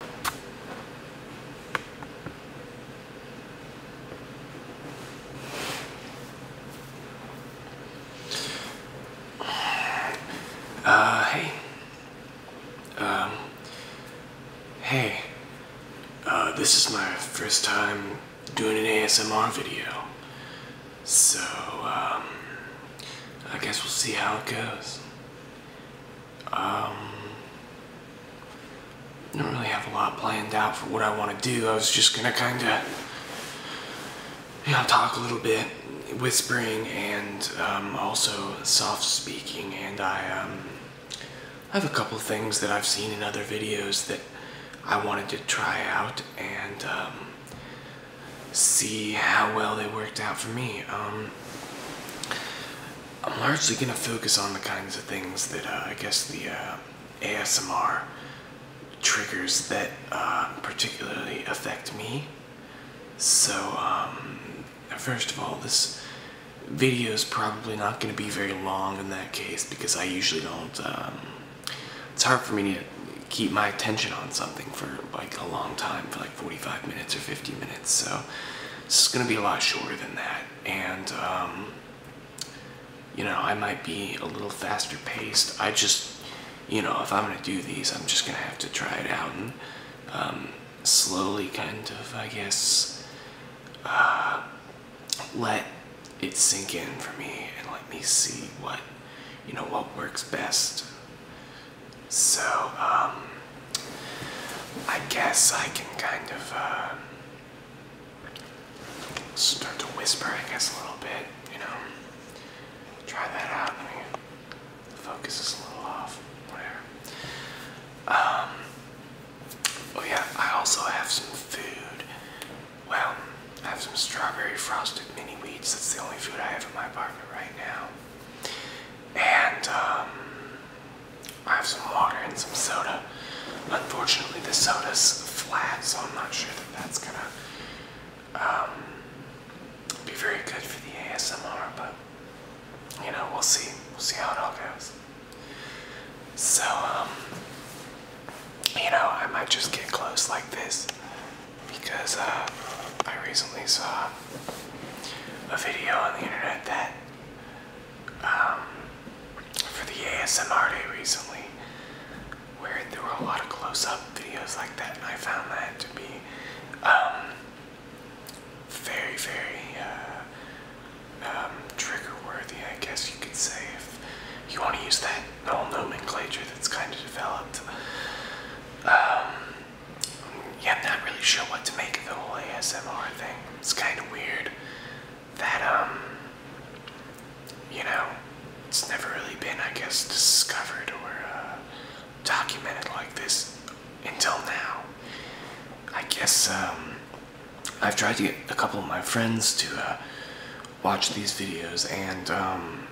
Uh, hey. Um, hey. Uh, this is my first time doing an ASMR video. So, um, I guess we'll see how it goes. Um, I don't really have a lot planned out for what I want to do. I was just going to kind of, you talk a little bit, whispering and um, also soft speaking. And um, I have a couple things that I've seen in other videos that I wanted to try out and see how well they worked out for me. I'm largely going to focus on the kinds of things that uh, I guess the uh, ASMR triggers that uh, particularly affect me. So, um, first of all, this video is probably not going to be very long in that case because I usually don't. Um, it's hard for me to keep my attention on something for like a long time. For like. 45 minutes or 50 minutes. So this is going to be a lot shorter than that. And, um, you know, I might be a little faster paced. I just, you know, if I'm going to do these, I'm just going to have to try it out and um, slowly kind of, I guess, uh, let it sink in for me and let me see what, you know, what works best. So, um, I guess I can kind of uh, start to whisper, I guess, a little bit, you know. Try that out. The focus is a little off, whatever. Um, oh, yeah, I also have some food. Well, I have some strawberry frosted mini wheats. That's the only food I have in my apartment right now and um, I have some water and some soda. Unfortunately, the soda's flat, so I'm not sure that that's gonna um, be very good for the ASMR, but you know, we'll see. We'll see how it all goes. So, um, you know, I might just get close like this because uh, I recently saw a video on the internet that um, for the ASMR day recently, where there were a lot of close-up videos like that, and I found that to be um, very, very uh, um, trigger-worthy, I guess you could say, if you want to use that whole nomenclature that's kind of developed yeah, I'm not really sure what to make of the whole ASMR thing. It's kind of weird that, um, you know, it's never really been, I guess, discovered or uh, documented like this until now. I guess, um, I've tried to get a couple of my friends to uh, watch these videos, and, um,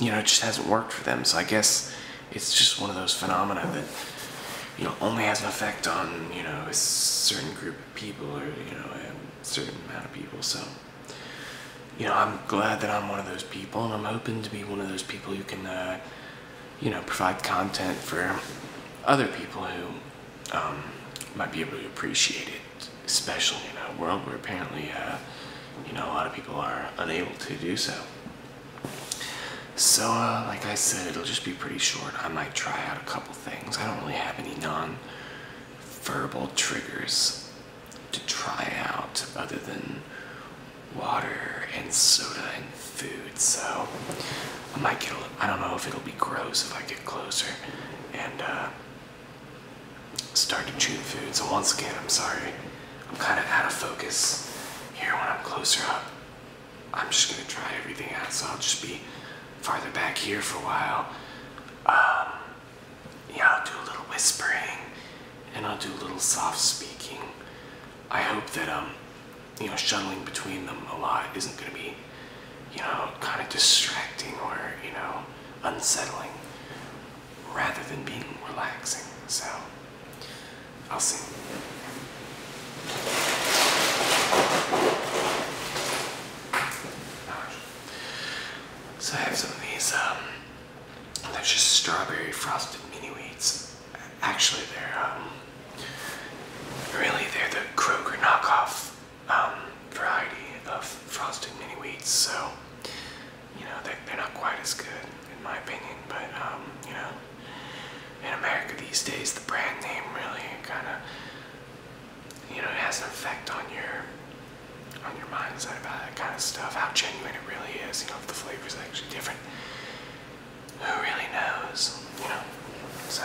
you know, it just hasn't worked for them. So I guess it's just one of those phenomena that, you know, only has an effect on, you know, a certain group of people or, you know, a certain amount of people. So, you know, I'm glad that I'm one of those people and I'm hoping to be one of those people who can, uh, you know, provide content for other people who um, might be able to appreciate it, especially in a world where apparently, uh, you know, a lot of people are unable to do so. So, uh, like I said, it'll just be pretty short. I might try out a couple things. I don't really have any non verbal triggers to try out other than water and soda and food. So, I might get a little, I don't know if it'll be gross if I get closer and uh, start to chew food. So, once again, I'm sorry. I'm kind of out of focus here when I'm closer up. I'm just gonna try everything out, so I'll just be farther back here for a while. Um, yeah, I'll do a little whispering and I'll do a little soft speaking. I hope that, um, you know, shuttling between them a lot isn't gonna be, you know, kind of distracting or, you know, unsettling rather than being relaxing. So, I'll see. So I have some of these, um, they're just strawberry frosted mini wheats. Actually, they're, um, really they're the Kroger knockoff, um, variety of frosted mini wheats. So you know, they're, they're not quite as good, in my opinion, but, um, you know, in America these days, the brand name really kind of, you know, it has an effect on your, on your mindset about that kind of stuff, how genuine it really is, you know, if the flavor's actually different. Who really knows, you know, so.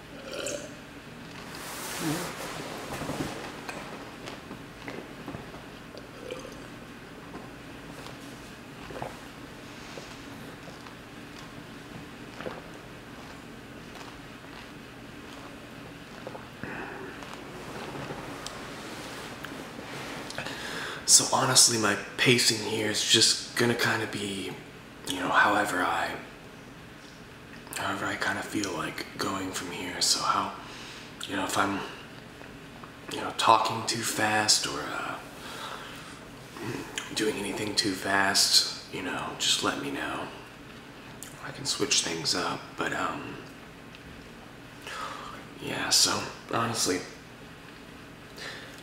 So honestly, my pacing here is just gonna kind of be you know, however I, however I kind of feel like going from here. So how, you know, if I'm, you know, talking too fast or uh, doing anything too fast, you know, just let me know. I can switch things up, but um, yeah. So honestly,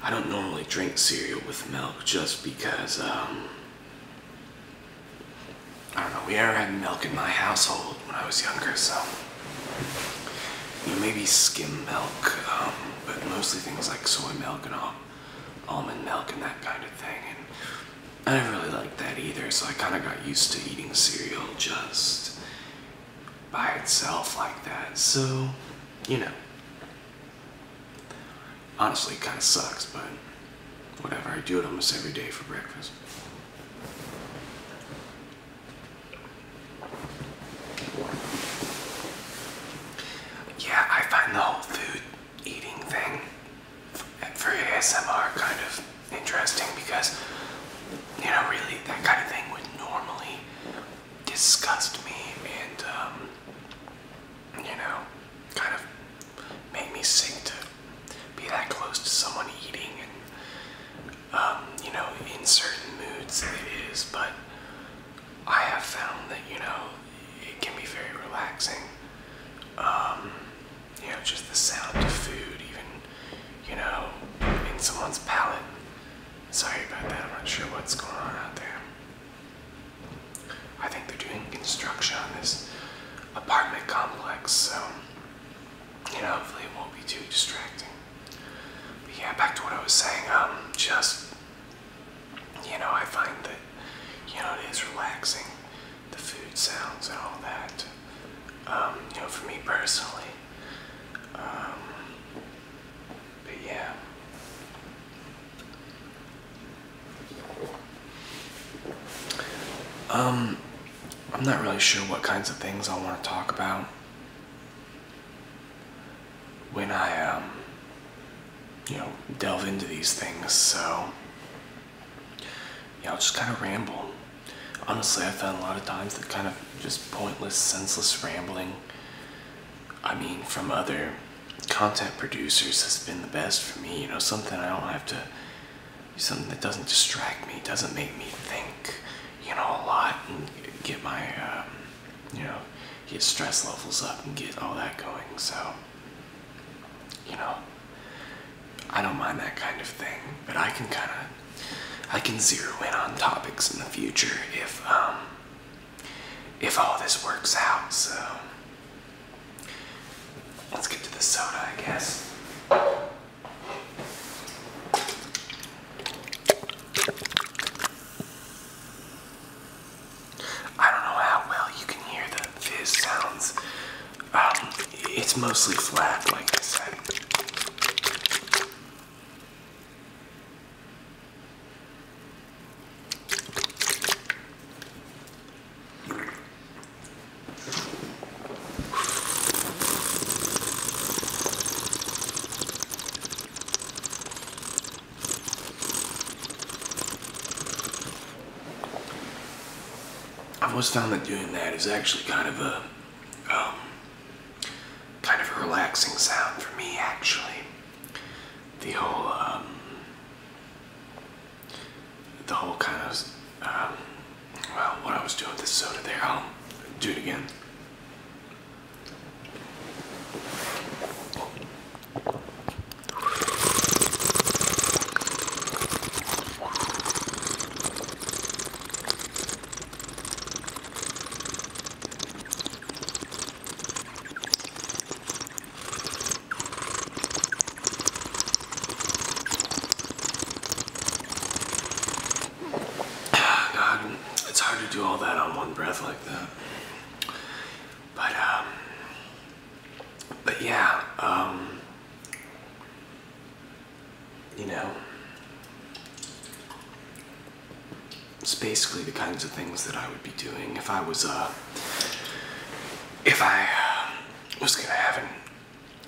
I don't normally drink cereal with milk just because, um, I don't know, we never had milk in my household when I was younger, so you maybe skim milk, um, but mostly things like soy milk and almond milk and that kind of thing. And I didn't really like that either, so I kind of got used to eating cereal just by itself like that. So, you know, Honestly, kind of sucks, but whatever. I do it almost every day for breakfast. Yeah, I find the whole food eating thing for ASMR kind of interesting because, you know, really that kind of thing would normally disgust me and um, you know, kind of make me sick to be that close to someone eating and, um, you know, in certain moods it is, but I have found that, you know, it can be very relaxing. Um, you know, just the sound of food, even, you know, in someone's palate. Sorry about that, I'm not sure what's going on out there. I think they're doing construction on this apartment complex, so you know, hopefully it won't be too distracting. But yeah, back to what I was saying, um, just you know, I find that you know it is relaxing, the food sounds and all that. Um, you know, for me personally. Um, but yeah. Um, I'm not really sure what kinds of things I want to talk about when I, um, you know, delve into these things. So, yeah, I'll just kind of ramble. Honestly, I found a lot of times that kind of just pointless, senseless rambling I mean, from other content producers has been the best for me. You know, something I don't have to, something that doesn't distract me, doesn't make me think, you know, a lot and get my, um, you know, get stress levels up and get all that going. So, you know, I don't mind that kind of thing, but I can kind of, I can zero in on topics in the future if, um, if all this works out. So let's get to the soda, I guess. I don't know how well you can hear the fizz sounds. Um, it's mostly flat, like I said. I've always found that doing that is actually kind of a um, kind of a relaxing sound for me, actually. The whole, um, the whole kind of, um, well, what I was doing with the soda there, I'll do it again. Ah, God, it's hard to do all that on one breath like that. But um, but yeah, um, you know, it's basically the kinds of things that I would be doing if I was, uh, if I um, was gonna have an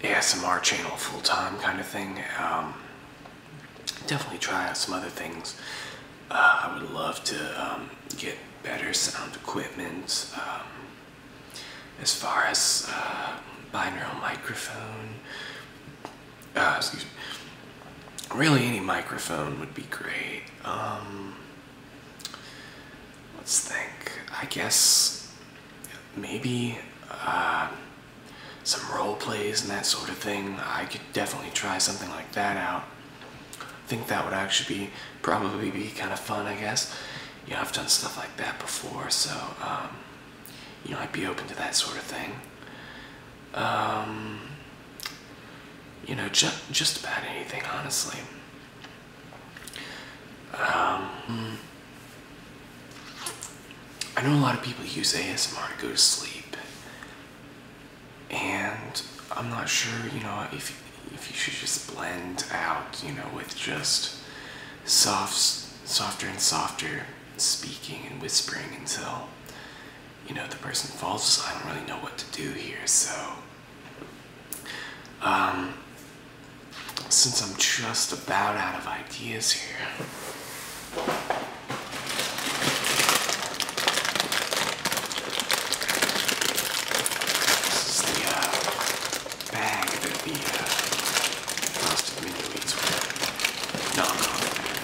ASMR channel full time kind of thing. Um, definitely try out some other things. Uh, I would love to um, get better sound equipment as far as uh, binaural microphone, Ah, excuse me, really any microphone would be great. Um, let's think. I guess maybe uh, some role plays and that sort of thing. I could definitely try something like that out. I think that would actually be probably be kind of fun. I guess. You I've done stuff like that before, so um, you know, I'd be open to that sort of thing. Um, you know, ju just about anything, honestly. Um, I know a lot of people use ASMR to go to sleep, and I'm not sure, you know, if if you should just blend out, you know, with just soft, softer and softer speaking and whispering until you know the person falls i don't really know what to do here so um, since i'm just about out of ideas here this is the uh, bag that the uh, frosted minnow No, no,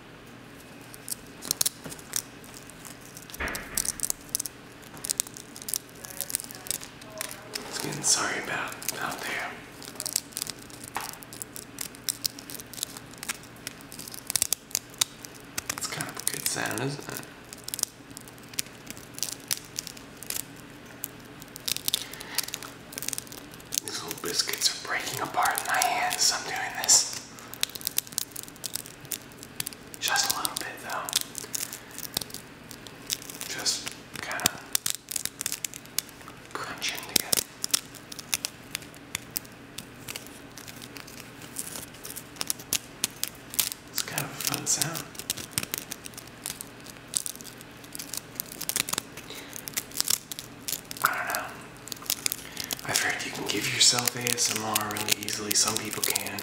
It's getting sorry about out there. It's kind of a good sound, isn't it? These little biscuits are breaking apart in my hands. I'm doing this. Just a little bit though. Just kind of crunching together. It's kind of a fun sound. I don't know. I've heard you can give yourself ASMR really easily. Some people can.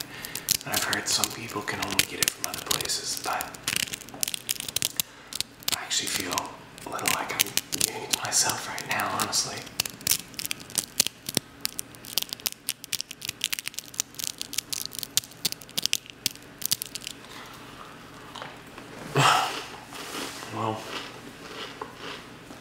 And I've heard some people can only get it from other places. But I actually feel a little like I'm doing it to myself right now, honestly. well,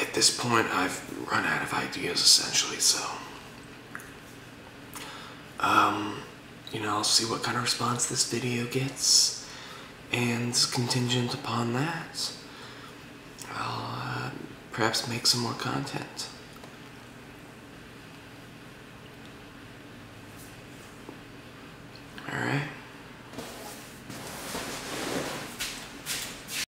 at this point, I've run out of ideas essentially, so. Um, you know, I'll see what kind of response this video gets, and contingent upon that, I'll uh, perhaps make some more content. Alright.